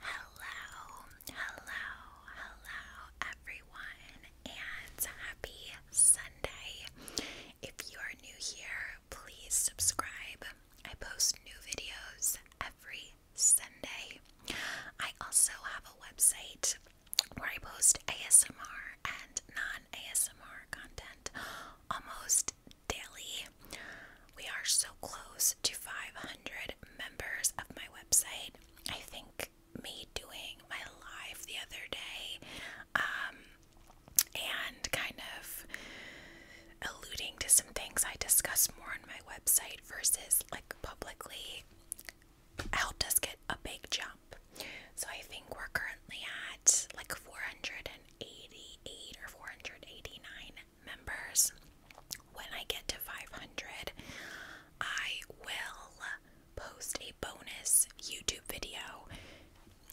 Hello, hello, hello, everyone, and happy Sunday. If you are new here, please subscribe. I post new videos every Sunday. I also have a website where I post ASMR and non ASMR content almost daily. We are so close to 500 members of my website. I think me doing my live the other day um, and kind of alluding to some things I discuss more on my website versus like publicly helped us get a big jump. So I think we're currently at like 488 or 489 members. When I get to 500, I will post a bonus YouTube video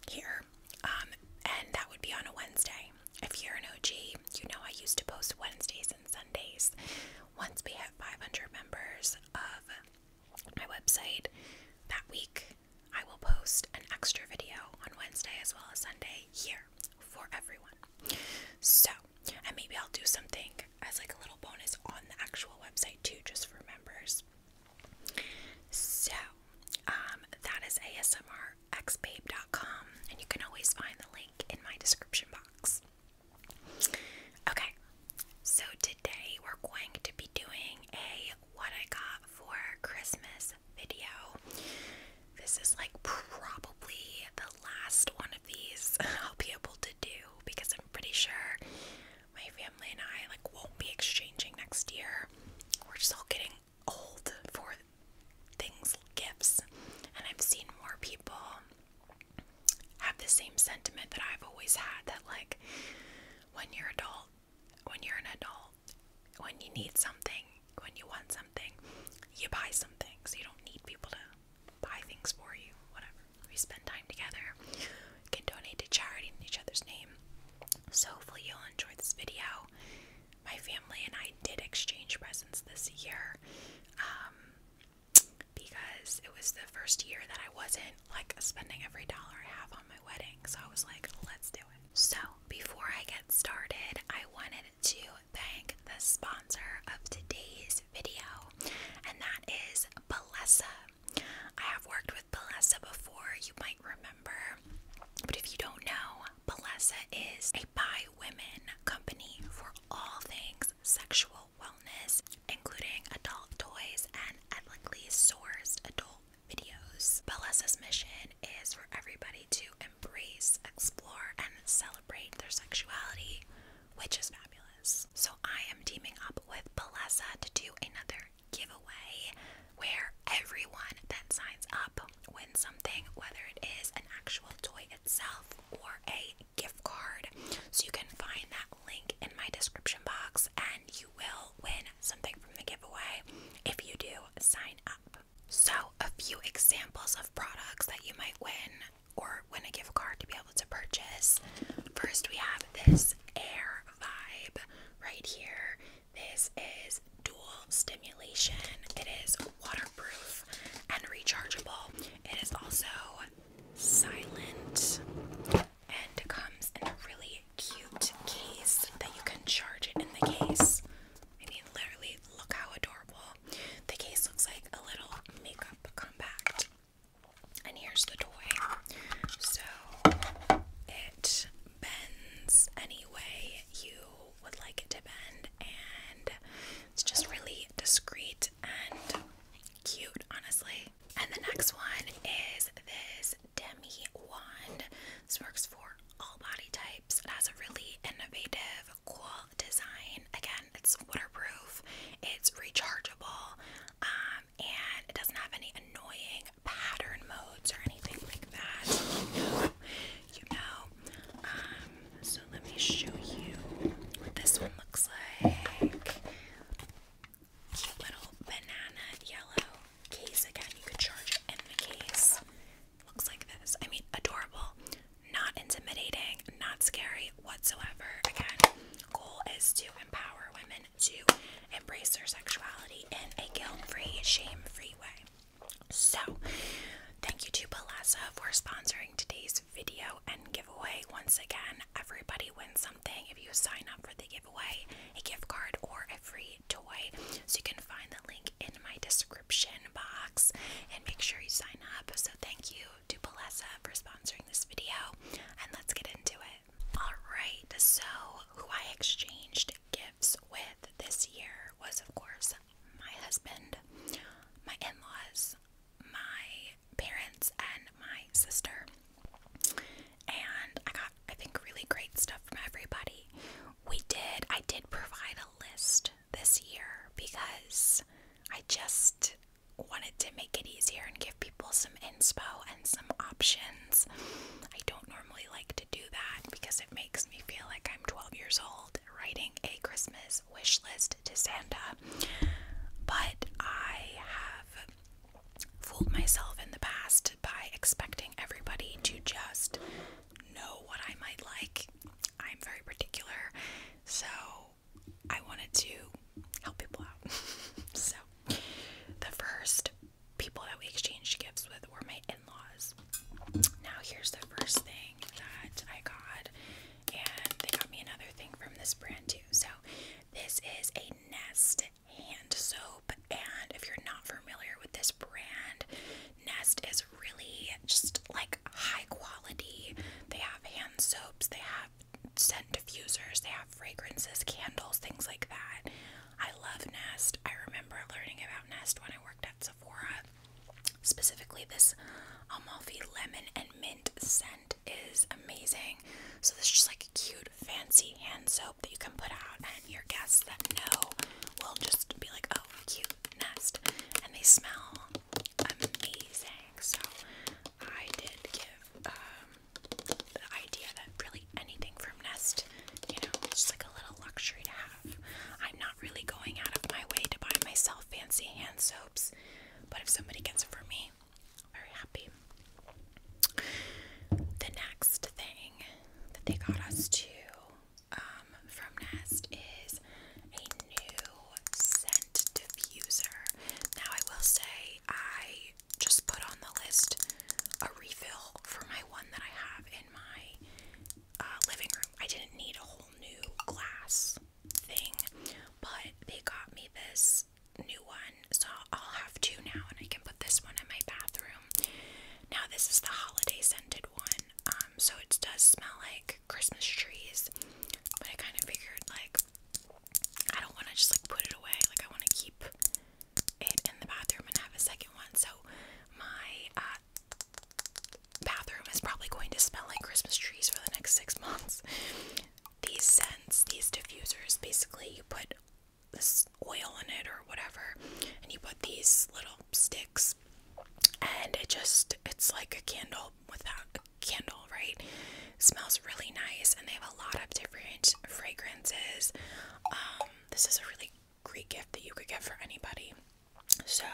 here, um, and that would be on a Wednesday. If you're an OG, you know I used to post Wednesdays and Sundays. Once we have 500 members of my website that week, I will post an extra video on Wednesday as well as Sunday here for everyone. So and maybe I'll do something as like a little bonus on the actual website too, just for members. So, um, that is ASMRxbabe.com, and you can always find the link in my description box. Okay, so today we're going to be doing a what I got for Christmas video. This is like probably the last one of these I'll be able to do because I'm pretty sure my family and I like won't be exchanging next year. We're just all getting old for things gifts. And I've seen more people have the same sentiment that I've always had that like when you're adult when you're an adult when you need something when you want something, you buy something, so you don't need people to buy things for you, whatever. We spend time together, can donate to charity in each other's name. So, hopefully, you'll enjoy this video. My family and I did exchange presents this year um, because it was the first year that I wasn't like spending every dollar I have on my wedding, so I was like, let's do it. So, before I get started, I wanted to thank the sponsor of today's video, and that is Balesa. I have worked with Balesa before, you might remember, but if you don't know, Balesa is a by women company for all things sexual wellness, including adult toys and ethically sourced adult videos. Balesa's mission is for everybody to embrace, explore, and celebrate celebrate their sexuality, which is fabulous. So I am teaming up with Balesa to do another giveaway where everyone that signs up wins something, whether it is an actual toy itself or a gift card. So you can find that link in my description box and you will win something from the giveaway if you do sign up. So, a few examples of products that you might win or win a gift card to be able to purchase. First, we have this Air Vibe right here. This is dual stimulation, it is waterproof and rechargeable. It is also silent and comes in a really cute case that you can charge it in the case. I mean, literally, look how adorable the case looks like a little makeup compact. And here's the toy. So it bends any way you would like it to bend, and it's just really discreet and cute, honestly. And the next one is this Demi wand. This works for all body types. It has a really innovative, cool design. Again, it's waterproof, it's rechargeable, um, and it doesn't have any annoying pattern modes or anything like that. You know, you um, know. so let me show you what this one looks like. Cute little banana yellow case again. You could charge in the case looks like this. I mean, adorable, not intimidating, not scary whatsoever. Again, goal is to empower women to embrace their sexuality in a guilt-free, shame-free way. So, thank you to Palazza for sponsoring today's video and giveaway. Once again, everybody wins something if you sign up for the giveaway, a gift card or a free toy. So you can find the link in my description box and make sure you sign up. So thank you to Palessa for sponsoring this video and let's get into it. Alright, so who I exchanged gifts with this year was of course my husband, my in-laws, my parents, and my sister. And I got I think really great stuff from everybody. We did I did provide a list this year because I just wanted to make it easier and give people some inspo and some options. I don't normally like to do that because it makes me feel like I'm 12 years old writing a Christmas wish list to Santa. But I have fooled myself in the past by expecting everybody to just know what I might like I'm very particular, so I wanted to help people out. so, the first people that we exchanged gifts with were my in laws. Now, here's the first thing that I got, and they got me another thing from this brand too. So, this is a Nest hand soap, and if you're not familiar with this brand, Nest is really just like high quality. They have hand soaps, they have scent diffusers, they have fragrances, candles, things like that. I love Nest. I remember learning about Nest when I worked at Sephora. Specifically, this Amalfi lemon and mint scent is amazing. So, this is just like a cute, fancy hand soap that you can put out, and your guests that know will just be like, oh, cute Nest. And they smell amazing. So I did give um, the idea that really anything from Nest, you know, just like a little luxury to have. I'm not really going out of my way to buy myself fancy hand soaps, but if somebody gets it for me, very happy. The next thing that they got us to um, from Nest is a new scent diffuser. Now, I will say, I just put on the list a refill for my one that I have in my uh, living room. I didn't need a whole new glass thing, but they got me this new one, so I'll have two now, and I can put this one in my bathroom. Now, this is the holiday scented one, um, so it does smell like Christmas trees, but I kind of figured like I don't want to just like put it away. Like I want to keep it in the bathroom and have a second one. So my uh, bathroom is probably going to smell like Christmas trees for the next six months. These scents, these diffusers, basically you put this oil in it or whatever, and you put these little sticks and it just it's like a candle without a candle right smells really nice and they have a lot of different fragrances um, this is a really great gift that you could get for anybody so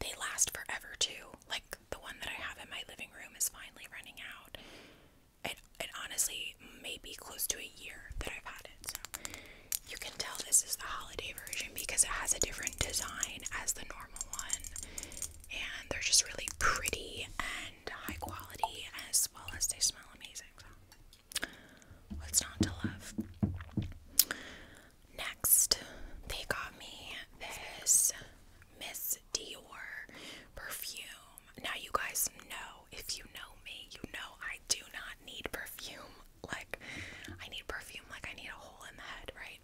they last forever too like the one that i have in my living room is finally running out it, it honestly may be close to a year that i've had it so you can tell this is the holiday version because it has a different design as the normal one, and they're just really pretty and high quality, as well as they smell amazing. what's not to love? Next, they got me this Miss Dior perfume. Now, you guys know if you know me, you know I do not need perfume. Like, I need perfume like I need a hole in the head, right?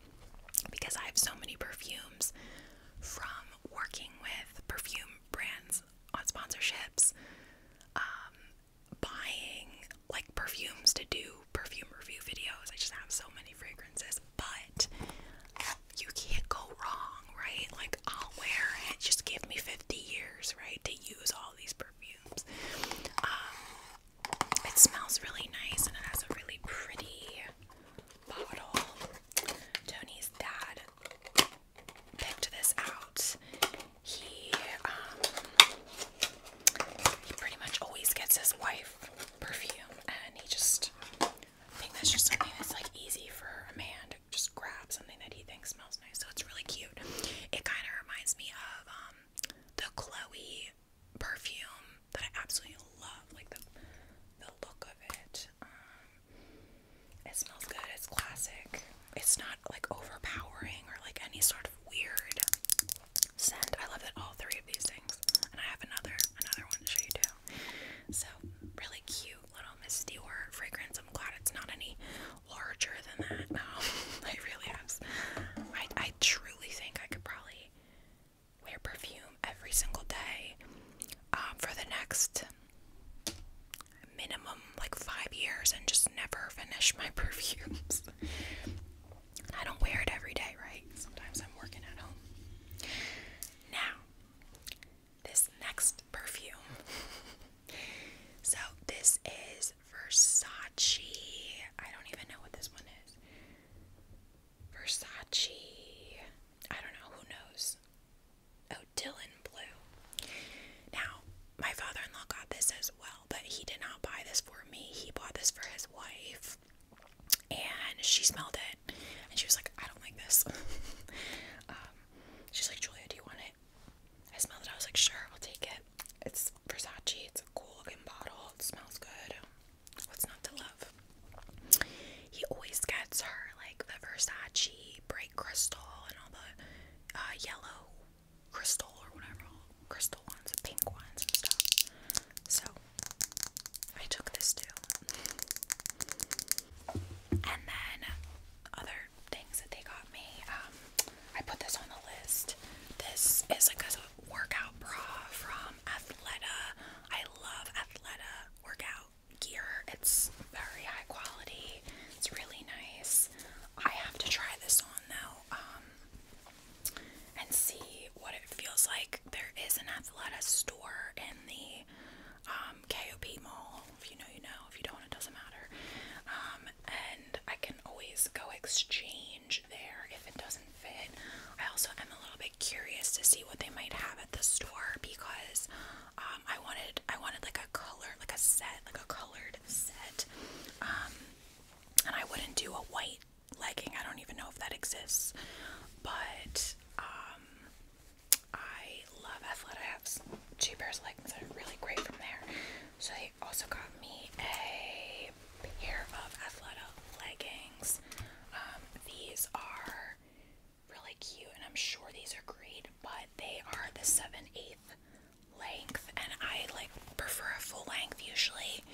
Because I have so many perfumes from working with perfume brands on sponsorships, um, buying like perfumes to do perfume review videos. I just have so many fragrances, but you can't go wrong, right? Like, I'll wear it, just give me 50 years, right, to use all these perfumes. Um, it smells really nice and it has a really pretty bottle. Tony's dad picked this out. He um, he pretty much always gets his wife perfume and he just I think that's just something that's like easy for a man to just grab something that he thinks smells nice. So it's really cute. It kind of reminds me of um, the Chloe perfume that I absolutely love, like the the look of it. Um, it smells good. It's classic. It's not like overpowering or like any sort of weird scent. I love that all three of these things, and I have another another one to show you do So really cute little misty or fragrance. I'm glad it's not any larger than that. No, um, I really am. I I truly think I could probably wear perfume every single day um, for the next minimum like five years and just never finish my perfumes. I don't wear it every day, right? Sometimes I'm working at home. Now, this next perfume. so, this is is Versace. I don't even know what this one is. Versace. I don't know. Who knows? Oh, Dylan Blue. Now, my father in law got this as well, but he did not buy this for me. He bought this for his wife, and she smelled it, and she was like, I don't like this. Um, she's like, Julia, do you want it? I smelled it. I was like, sure, I'll take it. It's Versace. It's a cool looking bottle. It smells good. What's not to love? He always gets her like the Versace bright crystal and all the uh, yellow crystal or whatever, crystal ones, pink ones and stuff. So I took this too. And then other things that they got me, um, I put this on the list. This is a workout bra from Athleta. I love Athleta workout gear. It's very high quality. It's really nice. I have to try this on though, um, and see what it feels like. There is an Athleta store in the um, KOP mall. If you know, you know. If you don't, it doesn't matter. Um, and I can always go exchange there if it doesn't fit. I also am a little bit curious to see what they might have at the store because um, I wanted I wanted like a color, like a set, like a colored set. Um, and I wouldn't do a white legging. I don't even know if that exists, but um, I love Athleta. I have two pairs of leggings that are really great from there. So they also got me a pair of Athleta leggings. Um, these are really cute, and I'm sure these are great, but they are the 7 8 length, and I like prefer a full length usually,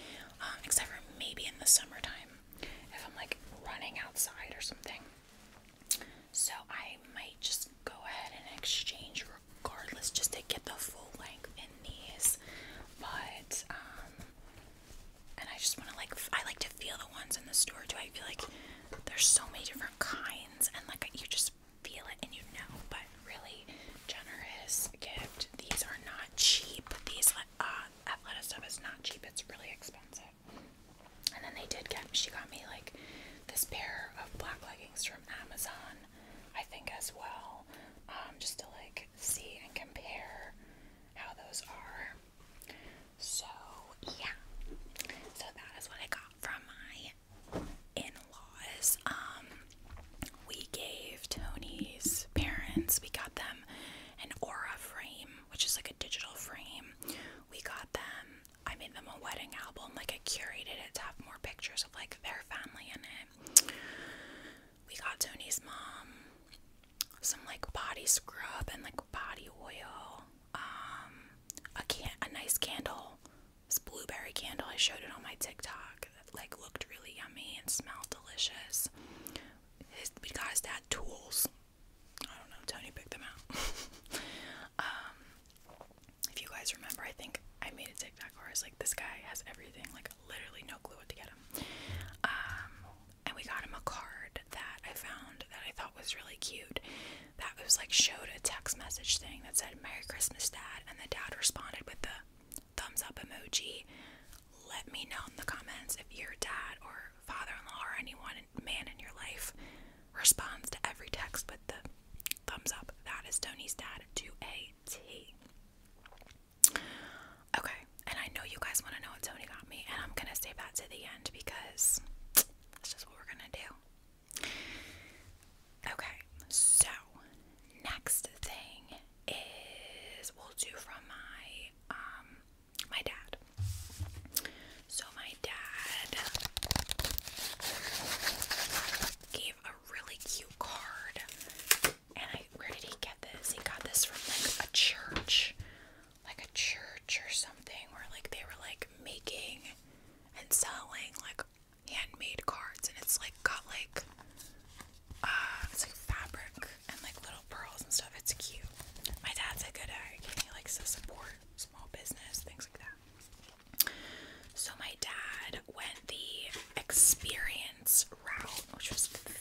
um, except for maybe in the summertime if I'm like running outside or something. So I might just go ahead and exchange regardless just to get the full length in and but um, and I just want to like I like to feel the ones in the store too. I feel like there's so many different kinds, and like you just feel it and you know. But really generous gift. These are not cheap. These uh, athletic stuff is not cheap. It's really expensive. And then they did get she got me like this pair of black leggings from Amazon, I think as well. Um, just to like see and compare how those are. So, yeah. So that is what I got from my in-laws. Um we gave Tony's parents, we got them an aura frame, which is like a digital frame. We got them I made them a wedding album, like I curated it to have more pictures of like their family in it we got Tony's mom some like body scrub and like body oil, um, a can a nice candle, this blueberry candle. I showed it on my TikTok. That, like looked really yummy and smelled delicious. His, we got his dad tools. I don't know. Tony picked them out. um, if you guys remember, I think I made a TikTok where I was like, this guy has everything. Like literally no clue what to get him. Um, and we got him a card that I found that I thought was really cute. That was like showed a text message thing that said "Merry Christmas, Dad," and the dad responded with the thumbs up emoji. Let me know in the comments if your dad or father-in-law or anyone man in your life responds to every text with the thumbs up. That is Tony's dad to a T. Okay, and I know you guys want to know what Tony got me, and I'm gonna save that to the end because that's just what we're gonna do. Okay, so next thing is we'll do from my um my dad. So my dad gave a really cute card and I, where did he get this? He got this from like a church, like a church or something, where like they were like making and selling like handmade cards, and it's like got like ah, it's like fabric and like little pearls and stuff. It's cute. My dad's a good at He likes to support small business, things like that. So my dad went the experience route, which was fantastic.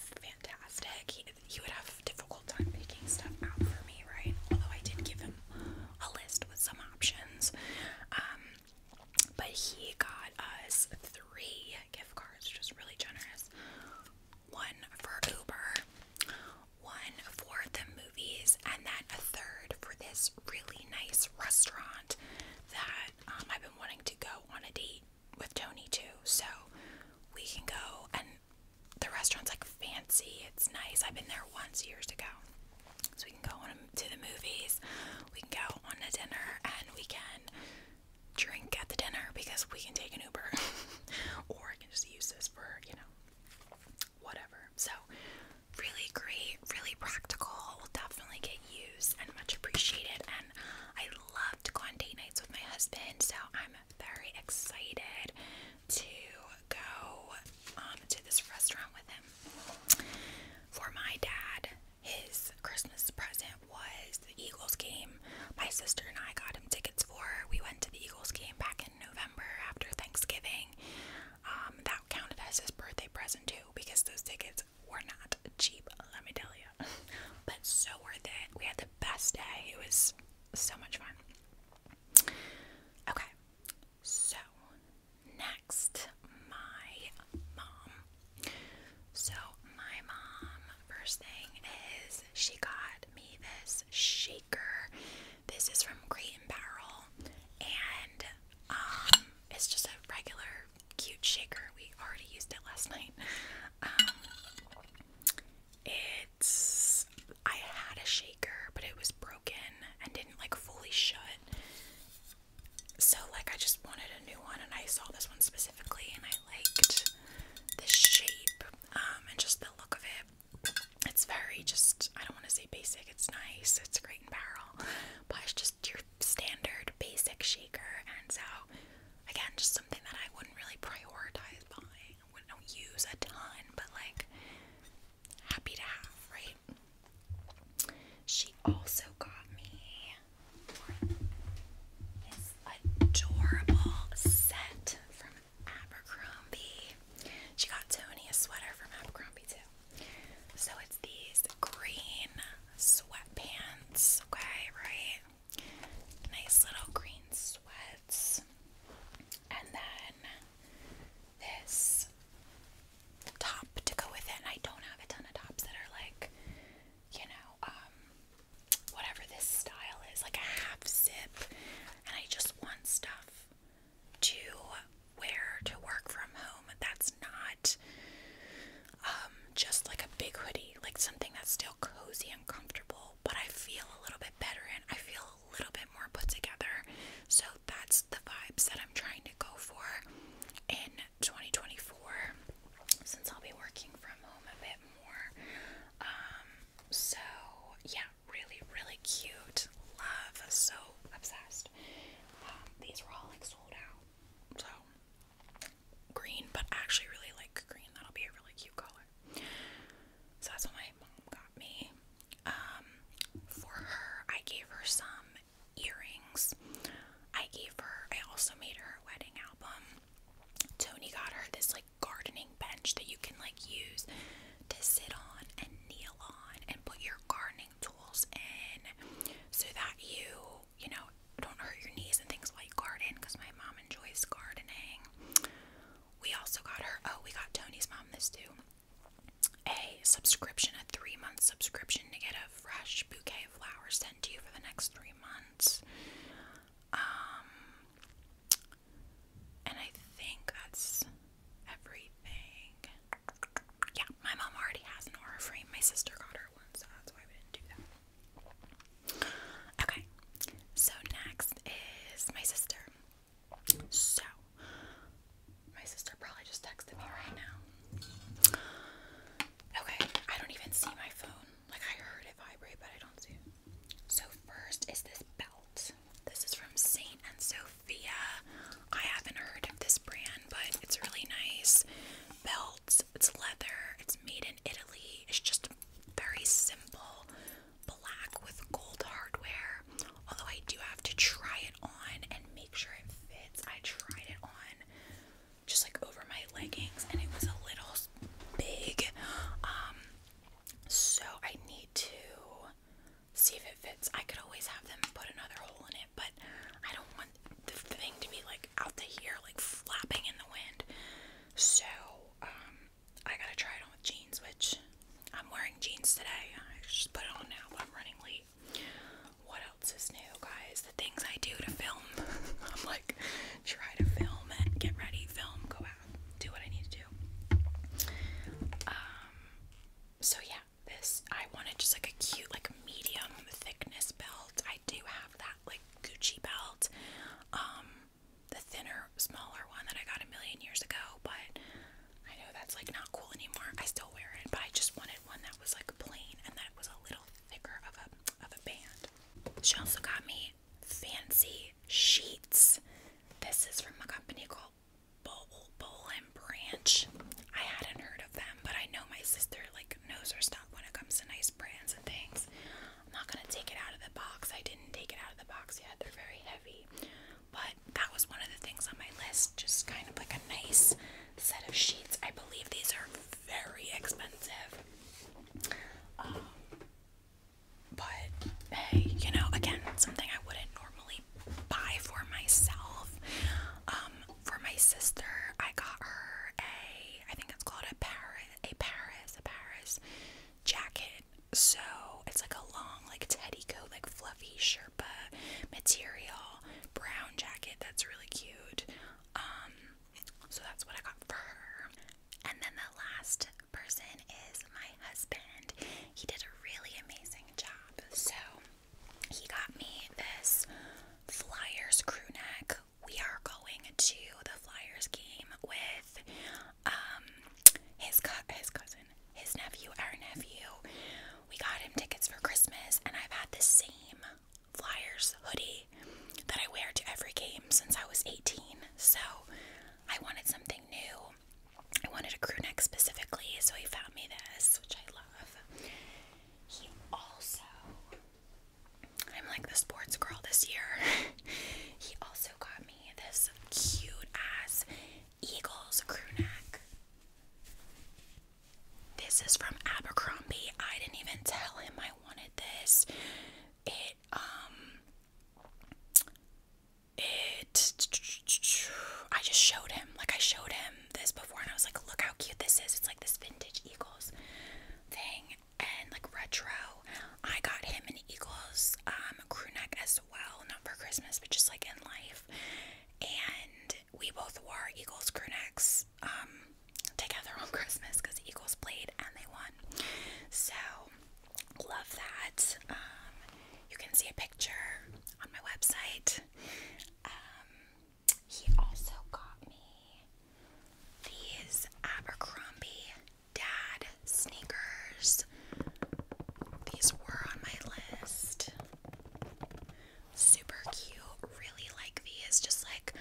He, would have difficult time picking stuff out for me, right? Although I did give him a list with some options. Um, but he got us three gift cards, which was really generous. One for Uber, one for the movies, and then a third for this really nice restaurant that um, I've been wanting to go on a date with Tony too, so we can go and the restaurant's like fancy. It's nice. I've been there once years ago. So we can go on to the movies. We can go on a dinner and we can drink at the dinner because we can take an Uber or I can just use this for, you know, whatever. So really great, really practical. Will definitely get used and much appreciated. And I love to date nights with my husband, so I'm very excited to go um, to this restaurant with him. For my dad, his Christmas present was the Eagles game. My sister and I got him tickets for. We went to the Eagles game back in November after Thanksgiving. Um, that counted as his birthday present too, because those tickets tickets were not cheap, let me tell you. But so worth it. We had the best day. It was so much fun. Okay, so next, my mom. So, my mom, first thing is she got me this shaker. This is from Crate and Barrel, and um, it's just a regular cute shaker. We already used it last night. Um, it's I had a shaker, but it was broken and didn't like fully shut. So like I just wanted a new one, and I saw this one specifically, and I liked the shape um, and just the look of it. It's very just I don't want to say basic. It's nice. It's great in barrel, but it's just your standard basic shaker, and so again, just something that I wouldn't really prioritize buying. I wouldn't not use a ton, but like happy to have, right? She also got me this adorable set from Abercrombie. She got Tony a sweater from Abercrombie too. So these green sweatpants, okay, right? Nice little green sweats. And then this top to go with it. I don't have a ton of tops that are like, you know, um, whatever this style is, like a half zip. And I just want stuff to wear to work from home. That's not um, just like a big hoodie, like something that's still cozy and comfortable, but I feel a little bit better and I feel a little bit more put together. So that's the vibes that I'm trying to go for in 2024 since I'll be working from home a bit more. Um, so yeah, really, really cute. Love, so obsessed. Um, these were all like sold out. So green, but I actually really like green. That'll be a really cute color. So that's what my mom got me. Um, for her, I gave her some earrings. I gave her, I also made her a wedding album. Tony got her this like gardening bench that you can like use to sit on and kneel on and put your gardening tools in so that you you know, don't hurt your knees and things while you because my mom enjoys gardening. We also got her, oh, we got Tony's mom this too, a subscription, a three month subscription to get a fresh bouquet of flowers sent to you for the next three months. Um, and I think that's everything. Yeah, my mom already has an aura frame. My sister got her one, so that's why we didn't do that. Okay, so next is my sister. So, my sister probably just texted me right now. Okay, I don't even see my phone. Like, I heard it vibrate, but I don't see it. So, first is this belt. This is from Saint and Sophia. I haven't heard of this brand, but it's really nice belt. It's leather. It's made in Italy. It's just very simple black with gold hardware. Although I do have to try it on and make sure it fits. I tried it on just like over my leggings and it was a little big. Um so I need to see if it fits. I could always have them put another hole in it but I don't want the thing to be like out to here, like flapping in the wind. So, um, I gotta try it on with jeans, which I'm wearing jeans today. I just put it on now, I'm running late. What else is new, guys? The things I do to film. I'm like, try to film and get ready, film, go out, do what I need to do. Um, so yeah, this I wanted just like a cute, like medium thickness belt. I do have that like Gucci belt, um, the thinner, smaller one that I got a million years ago, but I know that's like not cool anymore. I still wear it, but I just wanted one that was like plain and that was a little thicker of a of a band. She also got me fancy sheets. This is from a company called Bowl Bowl and Branch. I hadn't heard of them, but I know my sister like like nose or when it comes to nice brands and things. I'm not gonna take it out of the box. I didn't take it out of the box yet. They're very heavy. But that was one of the things on my list. Just kind of like a nice set of sheets. I believe these are very expensive. Um, but you know, again, something I wouldn't normally buy for myself. Um, for my sister, I got her a I think it's called a Paris, a Paris, a Paris jacket. So it's like a long, like teddy coat, like fluffy Sherpa material brown jacket. That's really cute. Um, so that's what I got for her. And then the last person is my husband. He did a really amazing job. So he got me this Flyers crew neck we are going to the Flyers game with um his co his cousin, his nephew, our nephew. We got him tickets for Christmas, and I've had the same Flyers hoodie that I wear to every game since I was 18. So I wanted something new. I wanted a crew neck specifically, so he found me this, which I love. He also I'm like the sports girl this year. he also got me this cute ass Eagles crew neck. This is from Abercrombie. I didn't even tell him I wanted this. It um it I just showed him. Like I showed him this before and I was like, look how cute this is. It's like this vintage Eagles thing and like retro. I got him an Eagles um, crew neck as well, not for Christmas, but just like in life. And we both wore Eagles crew necks um, together on Christmas because Eagles played and they won. So love that. Um, you can see a picture on my website. Um, he also got me these Abercrombie Dad sneakers. These were on my list. Super cute. Really like these. Just like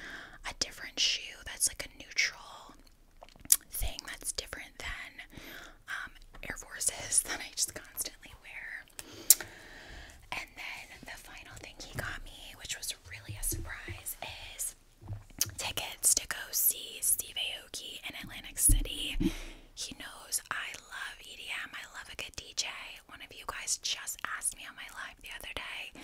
a different shoe that's like a neutral thing that's different than um, Air Forces that I just constantly wear. And then the final thing he got me, which was really a surprise, is tickets to go see Steve Aoki in Atlantic City. He knows I love EDM, I love a good DJ. One of you guys just asked me on my live the other day,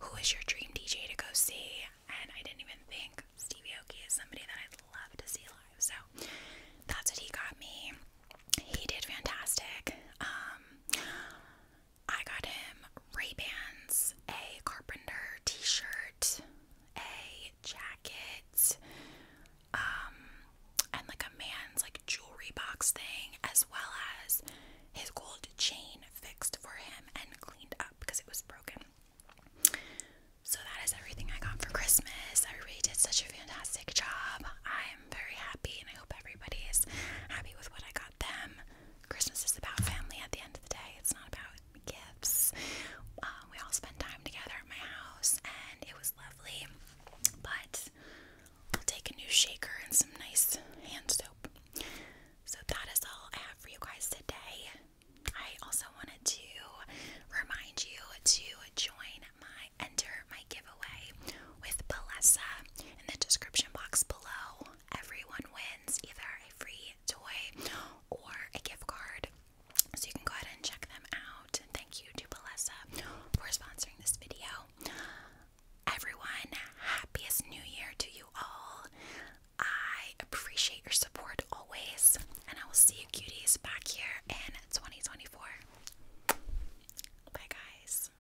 who is your dream DJ to go see? And I didn't even think Steve Aoki is somebody that I'd love to see live. So that's what he got me. He did fantastic. Um, I got him Ray-Bans, a carpenter t-shirt, a jacket, um, and like a man's like jewelry box thing, as well as his gold chain fixed for him and cleaned up because it was broken. So that is everything I got for Christmas. I really did such a fantastic job. I I'm very happy and I hope everybody is happy with what I got them. Christmas is about family at the end of the day, it's not about gifts. Uh, we all spent time together at my house and it was lovely, but I'll take a new shaker and some nice hand soap. So that is all I have for you guys today. I also wanted to remind you to join my enter my giveaway with Balesa in the description box below. Everyone wins either a free toy or a gift card. So you can go ahead and check them out. thank you to Balesa for sponsoring this video. Everyone, happiest new year to you all. I appreciate your support always, and I will see you cuties back here in 2024. Bye, guys.